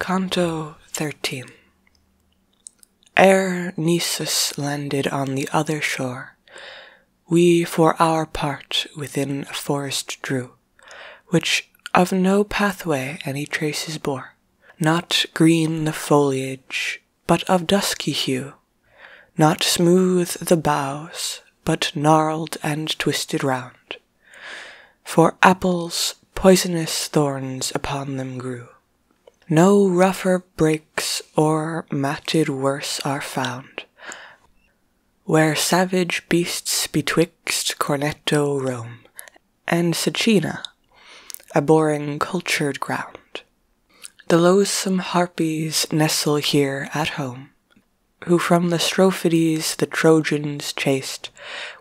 Canto 13 Ere Nisus landed on the other shore, we for our part within a forest drew, which of no pathway any traces bore, not green the foliage, but of dusky hue, not smooth the boughs, but gnarled and twisted round, for apples poisonous thorns upon them grew. No rougher brakes or matted worse are found, where savage beasts betwixt Corneto Rome and Sicina, abhorring cultured ground. The loathsome harpies nestle here at home, who from the Strophides the Trojans chased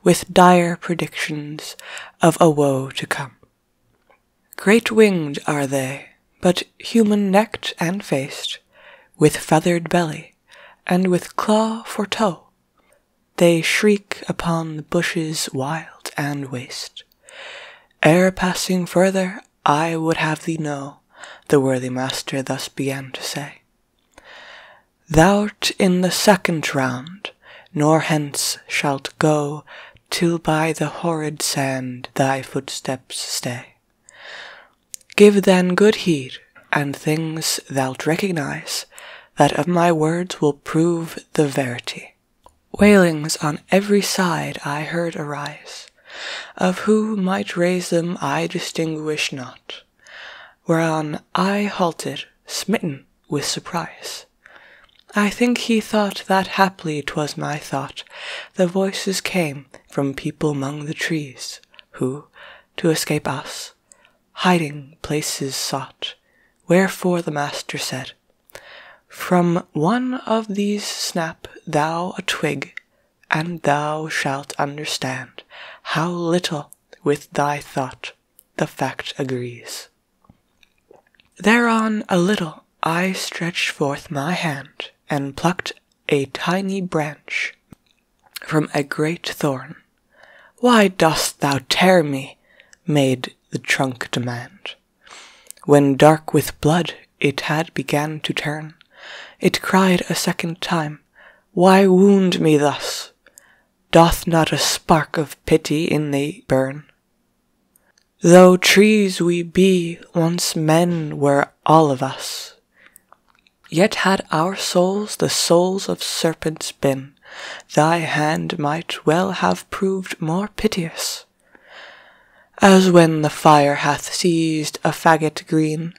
with dire predictions of a woe to come. Great winged are they, but human necked and faced, with feathered belly, and with claw for toe. They shriek upon the bushes wild and waste. Ere passing further, I would have thee know, the worthy master thus began to say, Thou'rt in the second round, nor hence shalt go Till by the horrid sand thy footsteps stay. Give then good heed, and things thou'lt recognize That of my words will prove the verity. Wailings on every side I heard arise, Of who might raise them I distinguish not whereon I halted, smitten with surprise. I think he thought that haply 'twas my thought, the voices came from people among the trees, who, to escape us, hiding places sought. Wherefore the master said, From one of these snap thou a twig, and thou shalt understand how little with thy thought the fact agrees. Thereon a little I stretched forth my hand and plucked a tiny branch from a great thorn. Why dost thou tear me? made the trunk demand. When dark with blood it had began to turn, it cried a second time, Why wound me thus? doth not a spark of pity in thee burn? Though trees we be, once men were all of us, yet had our souls the souls of serpents been, thy hand might well have proved more piteous. As when the fire hath seized a faggot green,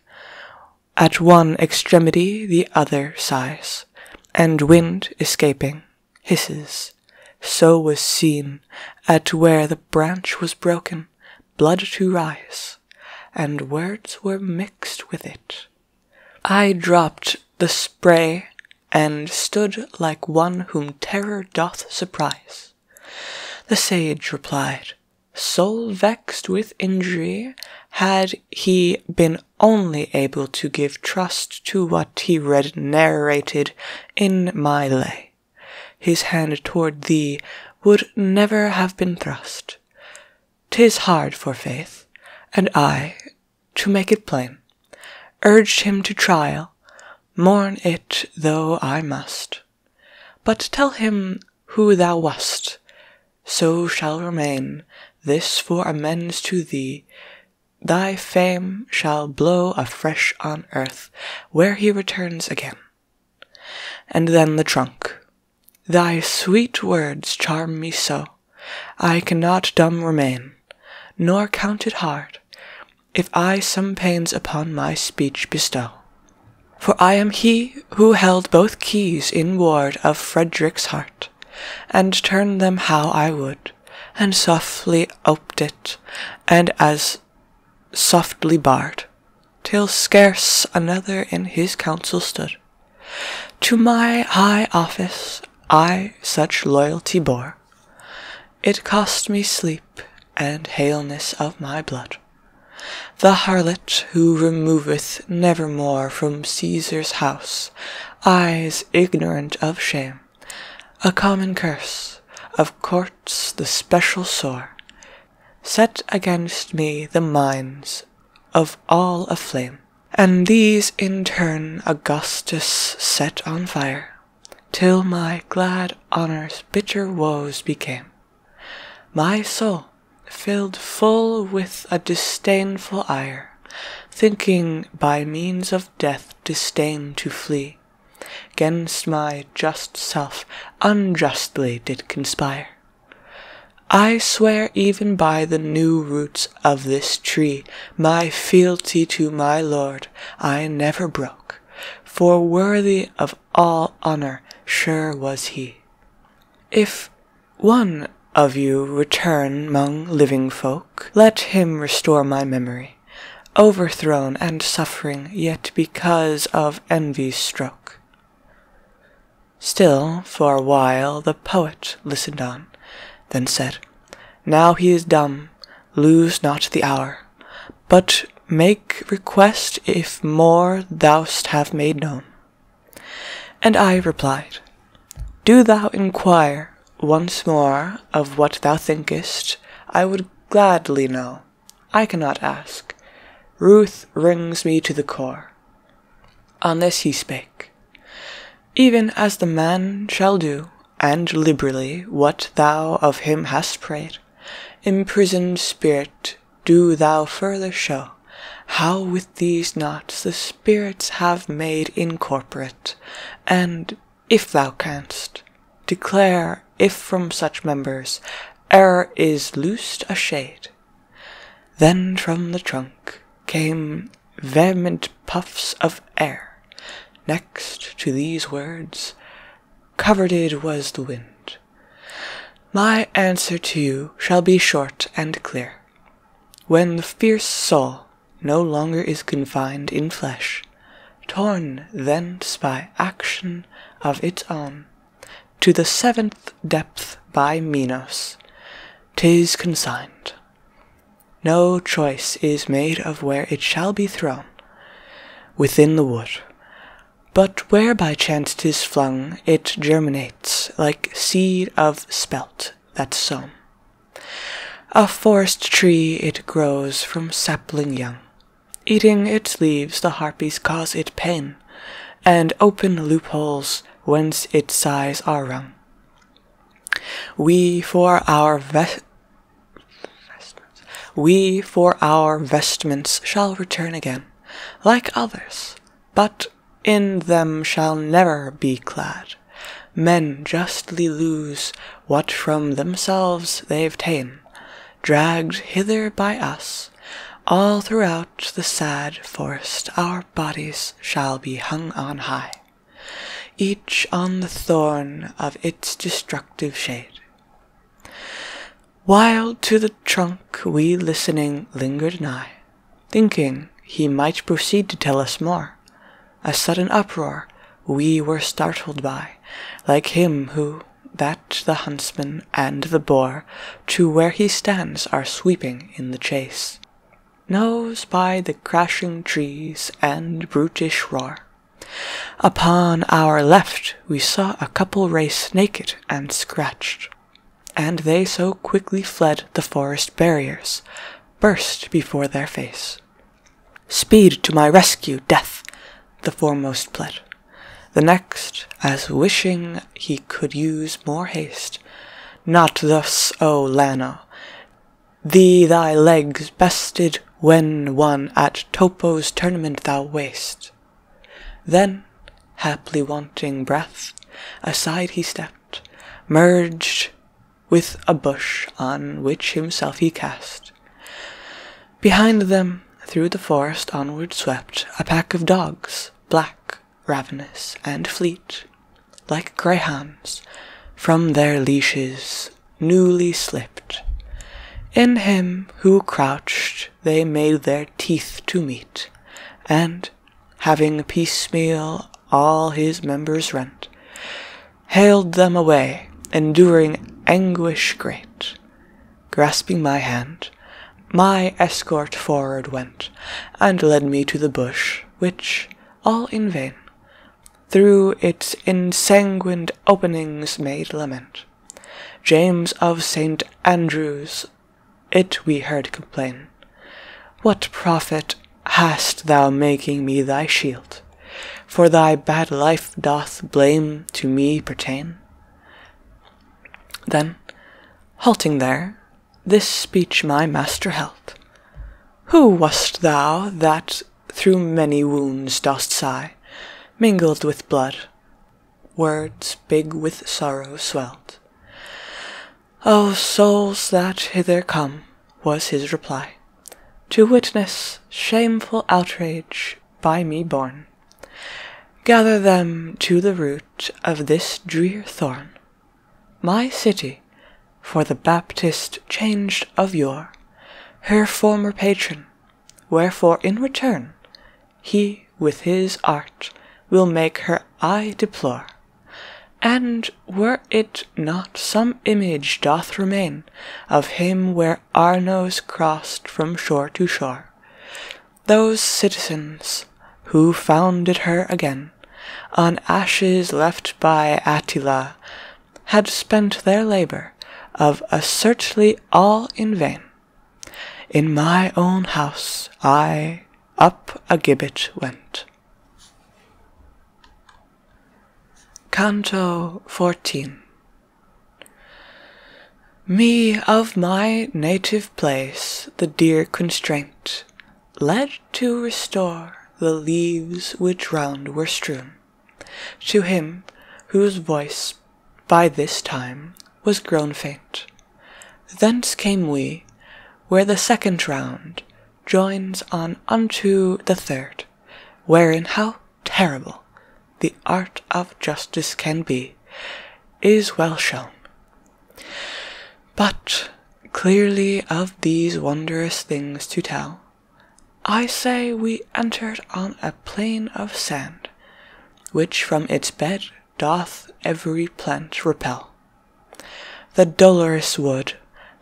at one extremity the other sighs, and wind escaping hisses. So was seen at where the branch was broken, blood to rise, and words were mixed with it. I dropped the spray and stood like one whom terror doth surprise. The sage replied, soul vexed with injury had he been only able to give trust to what he read narrated in my lay. His hand toward thee would never have been thrust. Tis hard for faith, and I, to make it plain, urged him to trial, mourn it though I must. But tell him who thou wast, so shall remain this for amends to thee. Thy fame shall blow afresh on earth, where he returns again. And then the trunk. Thy sweet words charm me so, I cannot dumb remain, nor count it hard, if I some pains upon my speech bestow. For I am he who held both keys in ward of Frederick's heart, and turned them how I would, and softly oped it, and as softly barred, till scarce another in his council stood. To my high office I such loyalty bore, it cost me sleep and haleness of my blood. The harlot who removeth nevermore from Caesar's house, eyes ignorant of shame, a common curse, of courts the special sore, set against me the minds of all aflame, and these in turn Augustus set on fire, till my glad honour's bitter woes became. My soul filled full with a disdainful ire, thinking by means of death disdain to flee, gainst my just self unjustly did conspire. I swear even by the new roots of this tree, my fealty to my lord I never broke, for worthy of all honour sure was he. If one of you return mong living folk, let him restore my memory, overthrown and suffering, yet because of envy's stroke. Still, for a while, the poet listened on, then said, Now he is dumb, lose not the hour, but make request if more thou'st have made known. And I replied, Do thou inquire once more of what thou thinkest, I would gladly know. I cannot ask. Ruth rings me to the core. On this he spake, Even as the man shall do, and liberally, what thou of him hast prayed, imprisoned spirit, do thou further show how with these knots the spirits have made incorporate, and, if thou canst, declare if from such members e'er is loosed a shade. Then from the trunk came vehement puffs of air. Next to these words, covered it was the wind, my answer to you shall be short and clear. When the fierce soul no longer is confined in flesh, torn thence by action of its own, to the seventh depth by Minos, tis consigned. No choice is made of where it shall be thrown, within the wood, but where by chance tis flung, it germinates like seed of spelt that's sown. A forest tree it grows from sapling young. Eating its leaves the harpies cause it pain, and open loopholes whence its sighs are wrung. We for our vestments, we for our vestments shall return again, like others, but in them shall never be clad. Men justly lose what from themselves they've ta'en, dragged hither by us. All throughout the sad forest our bodies shall be hung on high, each on the thorn of its destructive shade. While to the trunk we listening lingered nigh, Thinking he might proceed to tell us more. A sudden uproar we were startled by, Like him who, that the huntsman and the boar To where he stands are sweeping in the chase, Knows by the crashing trees and brutish roar. Upon our left we saw a couple race naked and scratched and they so quickly fled the forest barriers, burst before their face. Speed to my rescue, death, the foremost pled. The next, as wishing he could use more haste, not thus, O Lana, thee thy legs bested when one at Topo's tournament thou wast. Then, haply wanting breath, aside he stepped, merged with a bush on which himself he cast. Behind them, through the forest onward swept a pack of dogs, black, ravenous, and fleet, like greyhounds, from their leashes newly slipped. In him who crouched they made their teeth to meet, and, having piecemeal all his members rent, haled them away, enduring anguish great. Grasping my hand, my escort forward went, and led me to the bush, which, all in vain, through its ensanguined openings made lament. James of St. Andrews it we heard complain, What profit hast thou making me thy shield? For thy bad life doth blame to me pertain? Then, halting there, this speech my master held Who wast thou that through many wounds dost sigh, mingled with blood? words big with sorrow swelled. O oh, souls that hither come, was his reply, to witness shameful outrage by me borne. Gather them to the root of this drear thorn. My city, for the Baptist changed of yore, her former patron, wherefore in return he with his art will make her eye deplore. And were it not some image doth remain Of him where Arnos crossed from shore to shore, Those citizens who founded her again On ashes left by Attila had spent Their labour of a assertly all in vain. In my own house I up a gibbet went. Canto 14 Me of my native place the dear constraint led to restore the leaves which round were strewn to him whose voice by this time, was grown faint. Thence came we, where the second round joins on unto the third, wherein how terrible the art of justice can be, is well shown. But clearly of these wondrous things to tell, I say we entered on a plain of sand, which from its bed doth every plant repel. The dolorous wood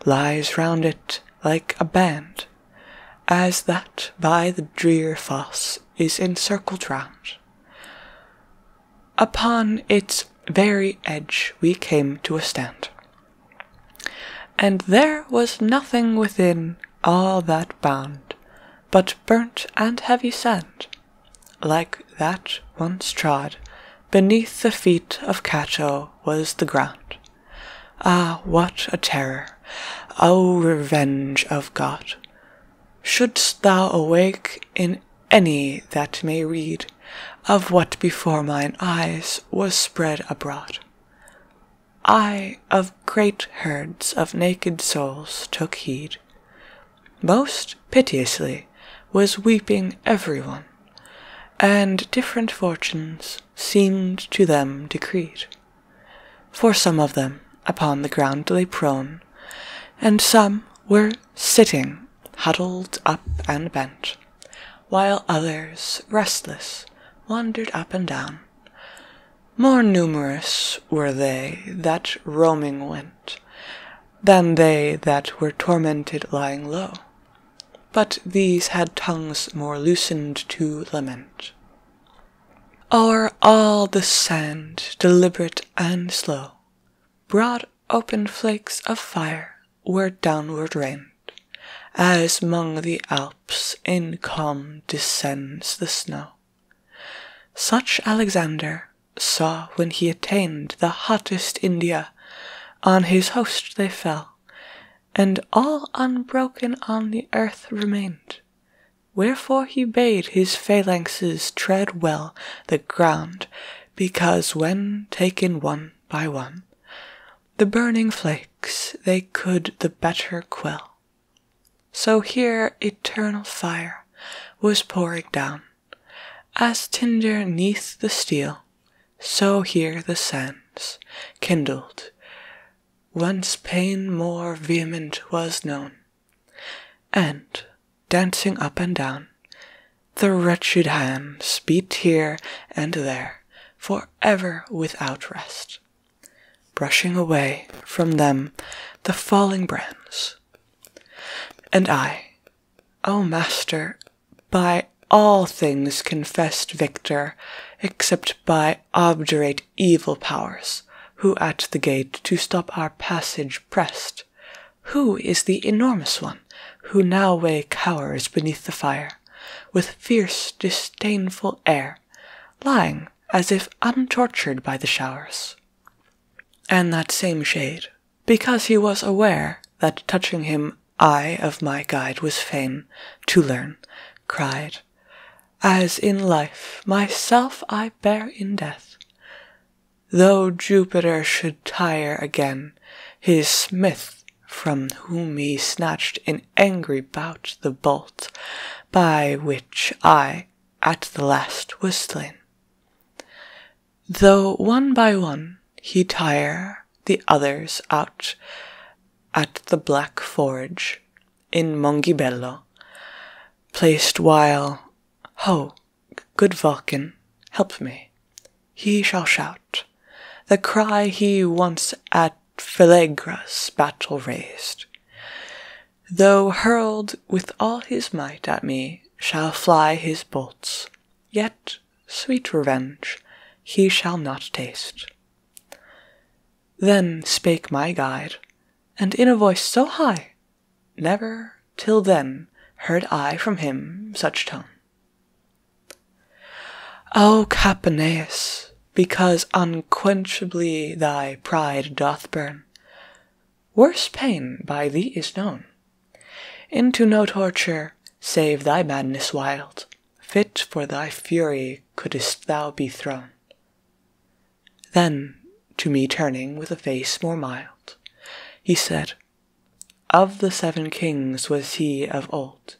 lies round it like a band, as that by the drear fosse is encircled round. Upon its very edge we came to a stand, and there was nothing within all that bound but burnt and heavy sand, like that once trod beneath the feet of Cato was the ground. Ah, what a terror! O oh, revenge of God! Shouldst thou awake in any that may read of what before mine eyes was spread abroad. I of great herds of naked souls took heed, most piteously, was weeping every one, and different fortunes seemed to them decreed. For some of them upon the ground lay prone, and some were sitting, huddled up and bent, while others, restless, wandered up and down. More numerous were they that roaming went than they that were tormented lying low. But these had tongues more loosened to lament. O'er all the sand, deliberate and slow, broad open flakes of fire were downward rained, as mong the Alps in calm descends the snow. Such Alexander saw when he attained the hottest India, on his host they fell, and all unbroken on the earth remained. Wherefore he bade his phalanxes tread well the ground, because when taken one by one, the burning flakes they could the better quell. So here eternal fire was pouring down, as tinder neath the steel, so here the sands kindled, whence pain more vehement was known, and dancing up and down, the wretched hands beat here and there, for ever without rest, brushing away from them the falling brands, and I, O Master, by all things confessed victor, except by obdurate evil powers, who at the gate to stop our passage pressed. Who is the enormous one, who now way cowers beneath the fire, with fierce, disdainful air, lying as if untortured by the showers? and that same shade, because he was aware that touching him I of my guide was fain to learn, cried, As in life myself I bear in death. Though Jupiter should tire again, his smith from whom he snatched in angry bout the bolt, by which I at the last whistling, Though one by one he tire the others out at the Black Forge in Mongibello, placed while, Ho, good Vulcan, help me, he shall shout, the cry he once at Philegra's battle raised. Though hurled with all his might at me shall fly his bolts, yet sweet revenge he shall not taste. Then spake my guide, and in a voice so high, never till then heard I from him such tone. O Capaneus, because unquenchably thy pride doth burn, worse pain by thee is known. Into no torture, save thy madness wild, fit for thy fury couldst thou be thrown. Then, to me turning with a face more mild, he said, Of the seven kings was he of old,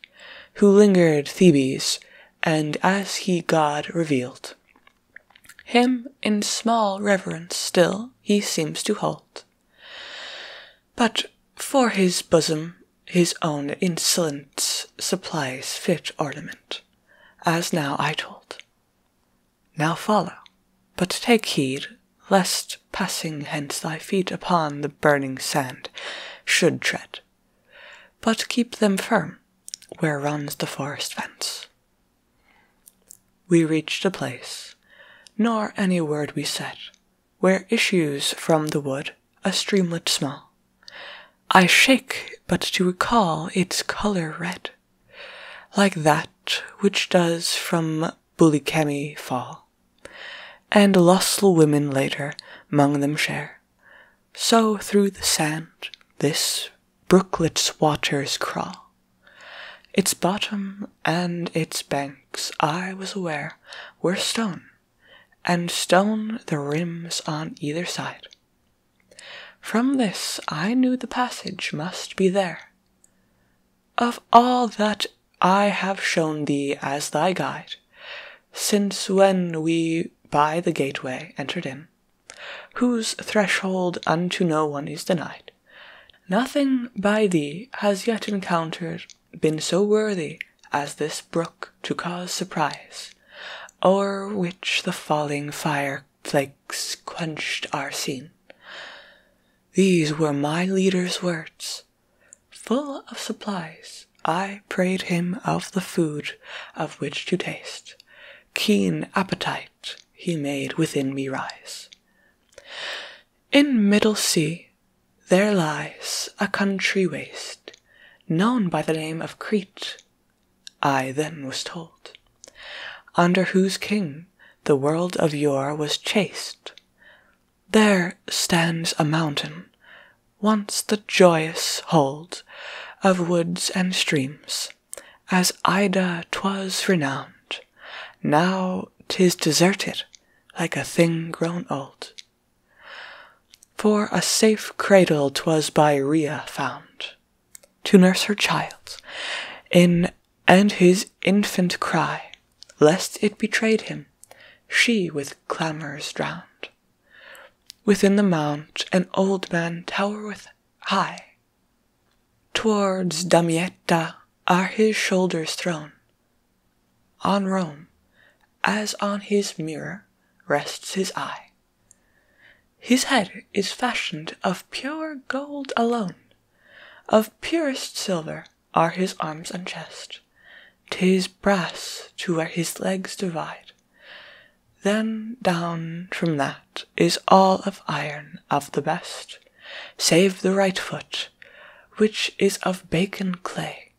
who lingered Thebes, and as he God revealed. Him in small reverence still he seems to hold, but for his bosom his own insolence supplies fit ornament, as now I told. Now follow, but take heed lest passing hence thy feet upon the burning sand should tread, but keep them firm where runs the forest fence. We reached a place, nor any word we said, where issues from the wood a streamlet small. I shake but to recall its colour red, like that which does from Bulikemi fall, and lustful women later, mong them share. So through the sand this brooklets' waters crawl. Its bottom and its banks, I was aware, were stone, and stone the rims on either side. From this I knew the passage must be there. Of all that I have shown thee as thy guide, since when we by the gateway entered in, whose threshold unto no one is denied. Nothing by thee has yet encountered been so worthy as this brook to cause surprise, o'er which the falling fire flakes quenched are seen. These were my leader's words. Full of supplies, I prayed him of the food of which to taste, keen appetite he made within me rise. In middle sea there lies a country waste, known by the name of Crete, I then was told, under whose king the world of yore was chaste. There stands a mountain, once the joyous hold of woods and streams, as Ida 'twas renowned, now 'tis deserted like a thing grown old. For a safe cradle 'twas by Rhea found, to nurse her child, in and his infant cry, lest it betrayed him, she with clamours drowned. Within the mound an old man towereth high, Towards Damietta are his shoulders thrown. On Rome, as on his mirror, rests his eye. His head is fashioned of pure gold alone. Of purest silver are his arms and chest. chest. 'Tis brass to where his legs divide. Then down from that is all of iron of the best, save the right foot, which is of bacon clay,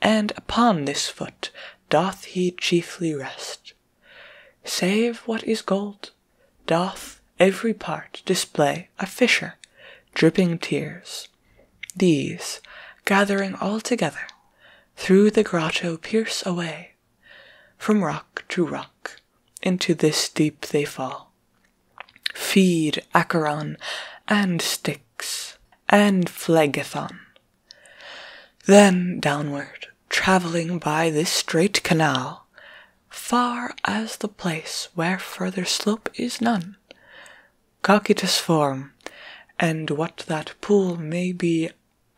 and upon this foot doth he chiefly rest. Save what is gold, doth every part display a fissure, dripping tears. These, gathering all together, through the grotto pierce away from rock to rock, into this deep they fall. Feed Acheron, and Styx, and Phlegethon. Then downward, travelling by this straight canal, far as the place where further slope is none, Cocytus form, and what that pool may be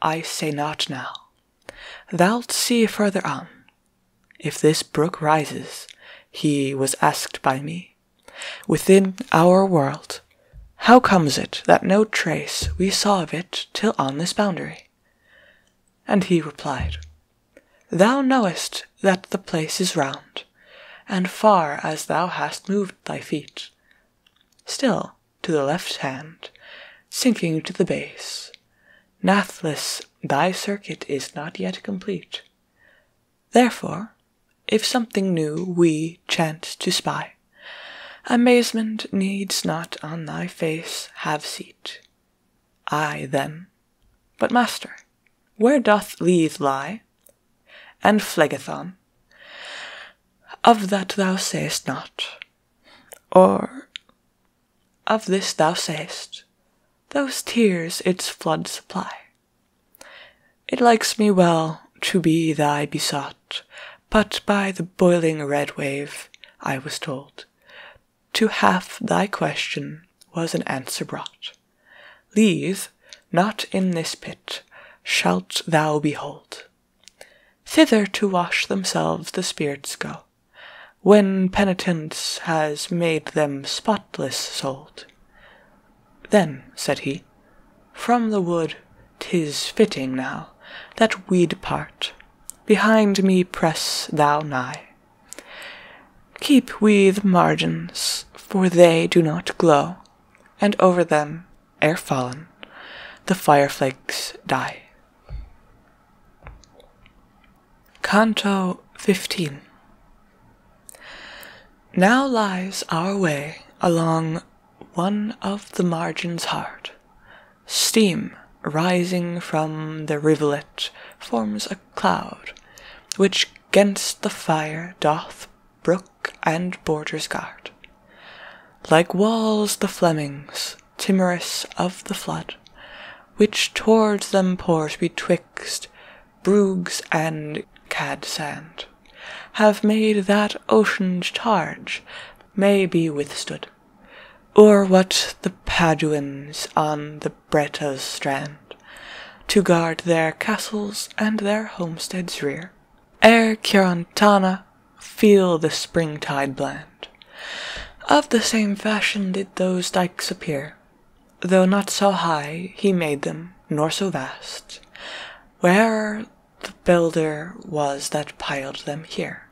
I say not now. Thou'lt see further on. If this brook rises, he was asked by me, within our world, how comes it that no trace we saw of it till on this boundary? And he replied, Thou knowest that the place is round, and far as thou hast moved thy feet. Still, to the left hand, sinking to the base. Nathless, thy circuit is not yet complete. Therefore, if something new we chance to spy, amazement needs not on thy face have seat. I then, but master, where doth Leith lie, and Phlegethon, of that thou sayest not? or of this thou sayest, those tears its flood supply. It likes me well to be thy besought, but by the boiling red wave, I was told, to half thy question was an answer brought. Leave, not in this pit, shalt thou behold. Thither to wash themselves the spirits go, when penitence has made them spotless souled. Then, said he, from the wood 'tis fitting now that we depart. Behind me press thou nigh. Keep we the margins, for they do not glow, and over them Ere fallen, the fireflakes die. Canto 15 Now lies our way along one of the margin's heart. Steam rising from the rivulet forms a cloud, which gainst the fire doth brook and borders guard. Like walls the Flemings, timorous of the flood, which towards them pours betwixt Bruges and Cadsand, have made that ocean's charge may be withstood, or what the Paduans on the Bretta's strand, to guard their castles and their homesteads rear, ere Ciarantana feel the spring tide blend. Of the same fashion did those dikes appear, though not so high he made them, nor so vast, where the builder was that piled them here.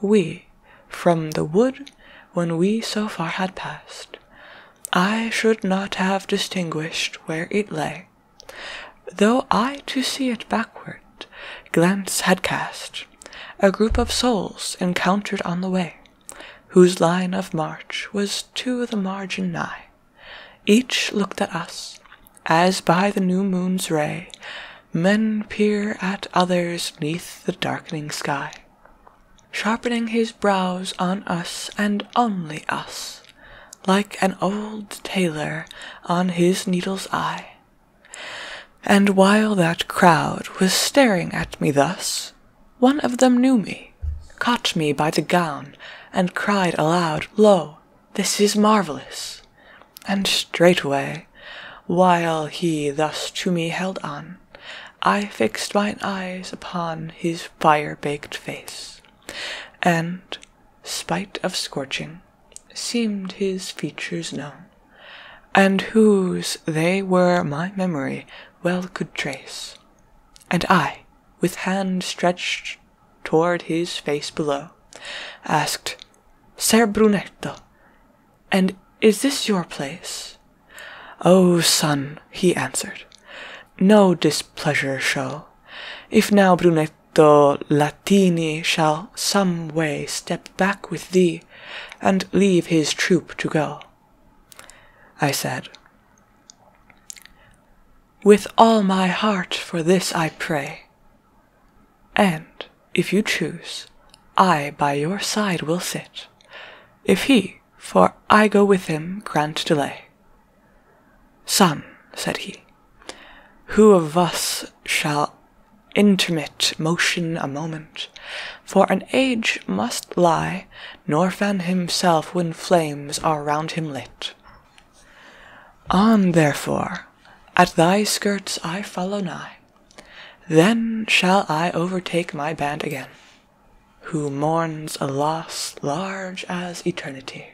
We, from the wood, when we so far had passed, I should not have distinguished where it lay, though I to see it backward glance had cast a group of souls encountered on the way, whose line of march was to the margin nigh. Each looked at us, as by the new moon's ray men peer at others neath the darkening sky, sharpening his brows on us and only us, like an old tailor on his needle's eye. And while that crowd was staring at me thus, one of them knew me, caught me by the gown, and cried aloud, Lo, this is marvellous! And straightway, while he thus to me held on, I fixed mine eyes upon his fire baked face, and, spite of scorching, seemed his features known, and whose they were my memory well could trace, and I, with hand stretched toward his face below, asked, Ser Brunetto, and is this your place? O oh, son, he answered, no displeasure show. If now, Brunetto, though Latini shall some way step back with thee, and leave his troop to go. I said, With all my heart for this I pray, and, if you choose, I by your side will sit, if he, for I go with him, grant delay. Son, said he, who of us shall intermit motion a moment? For an age must lie, nor fan himself when flames are round him lit. On, therefore, at thy skirts I follow nigh, then shall I overtake my band again, who mourns a loss large as eternity.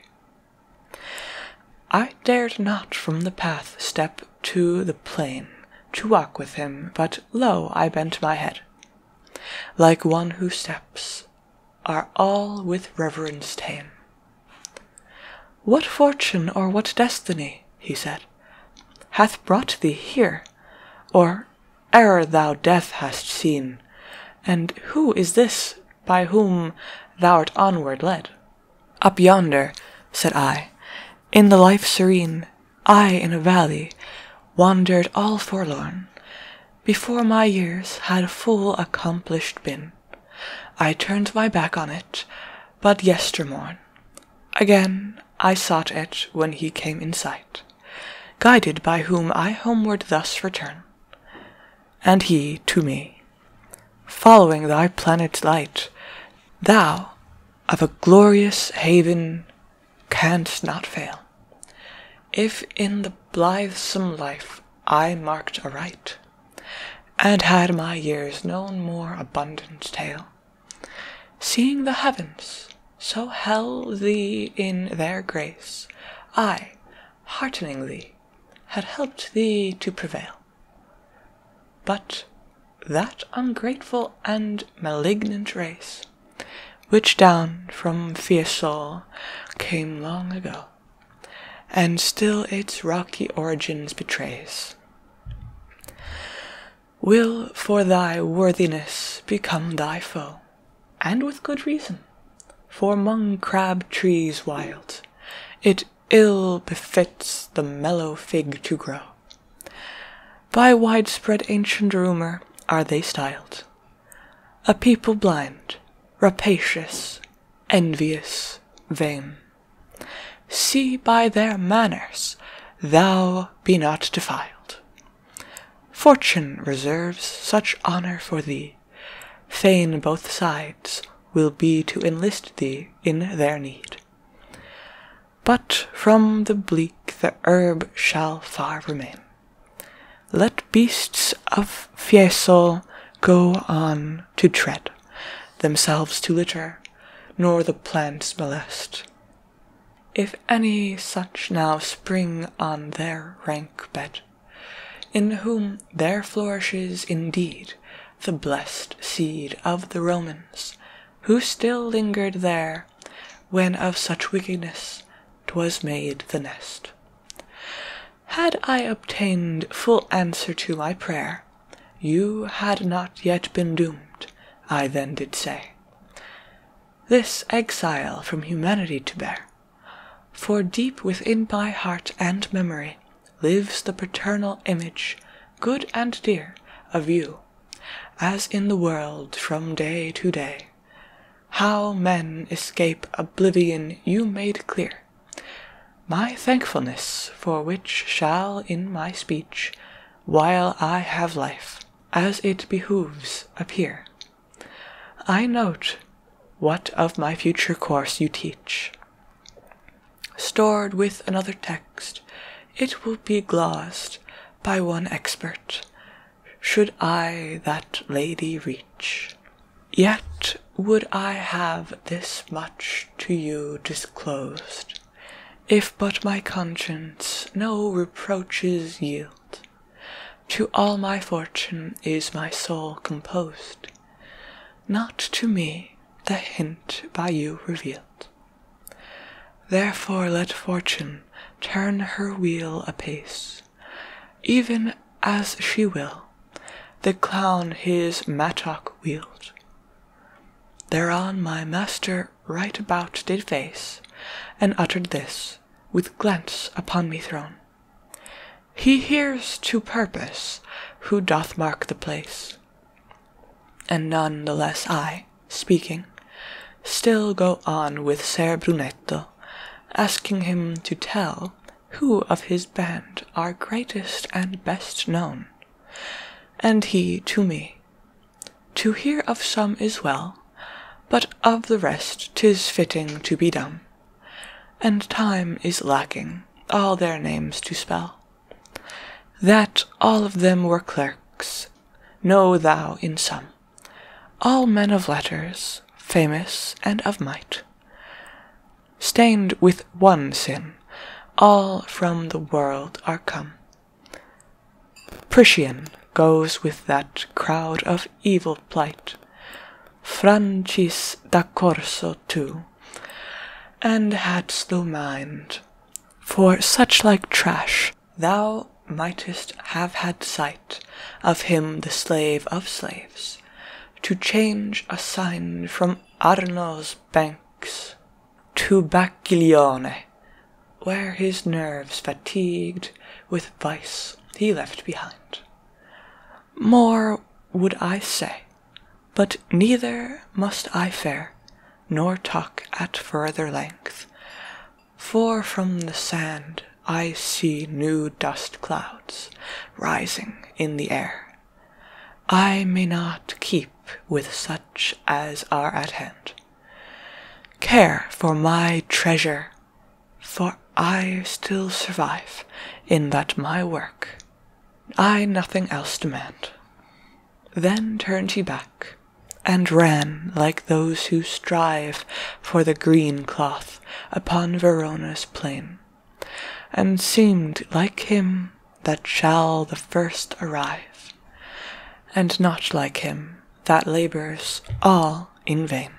I dared not from the path step to the plain to walk with him, but lo, I bent my head. Like one who steps are all with reverence tame. What fortune or what destiny, he said, hath brought thee here, or ere thou death hast seen, and who is this by whom thou art onward led? Up yonder, said I, in the life serene, I in a valley, wandered all forlorn, before my years had full accomplished been. I turned my back on it but yestermorn. Again I sought it when he came in sight, guided by whom I homeward thus return and he to me. Following thy planet's light, thou of a glorious haven canst not fail. If in the blithesome life I marked aright, and had my years known more abundant tale, seeing the heavens so held thee in their grace, I, heartening thee, had helped thee to prevail. But that ungrateful and malignant race, which down from Fiesole came long ago, and still its rocky origins betrays, will for thy worthiness become thy foe, and with good reason, for for 'mong crab trees wild it ill befits the mellow fig to grow. By widespread ancient rumour are they styled, a people blind, rapacious, envious, vain. See by their manners thou be not defiled. Fortune reserves such honour for thee fain both sides will be to enlist thee in their need. But from the bleak the herb shall far remain. Let beasts of Fiesole go on to tread, themselves to litter, nor the plants molest. If any such now spring on their rank bed, in whom there flourishes indeed the blessed seed of the Romans, who still lingered there, when of such wickedness 'twas made the nest. Had I obtained full answer to my prayer, you had not yet been doomed, I then did say, this exile from humanity to bear, for deep within my heart and memory lives the paternal image, good and dear, of you, as in the world from day to day. How men escape oblivion you made clear. My thankfulness for which shall in my speech, while I have life, as it behooves, appear. I note what of my future course you teach. Stored with another text, it will be glossed by one expert, should I that lady reach. Yet would I have this much to you disclosed, if but my conscience no reproaches yield. To all my fortune is my soul composed not to me the hint by you revealed. Therefore let fortune turn her wheel apace, even as she will, the clown his mattock wield. Thereon my master right about did face, and uttered this, with glance upon me thrown. He hears to purpose who doth mark the place. And none the less I, speaking, still go on with Ser Brunetto, asking him to tell who of his band are greatest and best known. And he to me, To hear of some is well, but of the rest tis fitting to be dumb and time is lacking all their names to spell. That all of them were clerks, know thou in sum, all men of letters, famous and of might, stained with one sin, all from the world are come. Priscian goes with that crowd of evil plight, Francis da Corso or and hadst thou mind, for such like trash thou mightest have had sight of him the slave of slaves, to change a sign from Arno's banks to Bacchilione, where his nerves fatigued with vice he left behind. More would I say, but neither must I fare, nor talk at further length, for from the sand I see new dust clouds rising in the air. I may not keep with such as are at hand. Care for my treasure, for I still survive in that my work I nothing else demand. Then turned he back, and ran like those who strive for the green cloth upon Verona's plain, and seemed like him that shall the first arrive, and not like him that labours all in vain.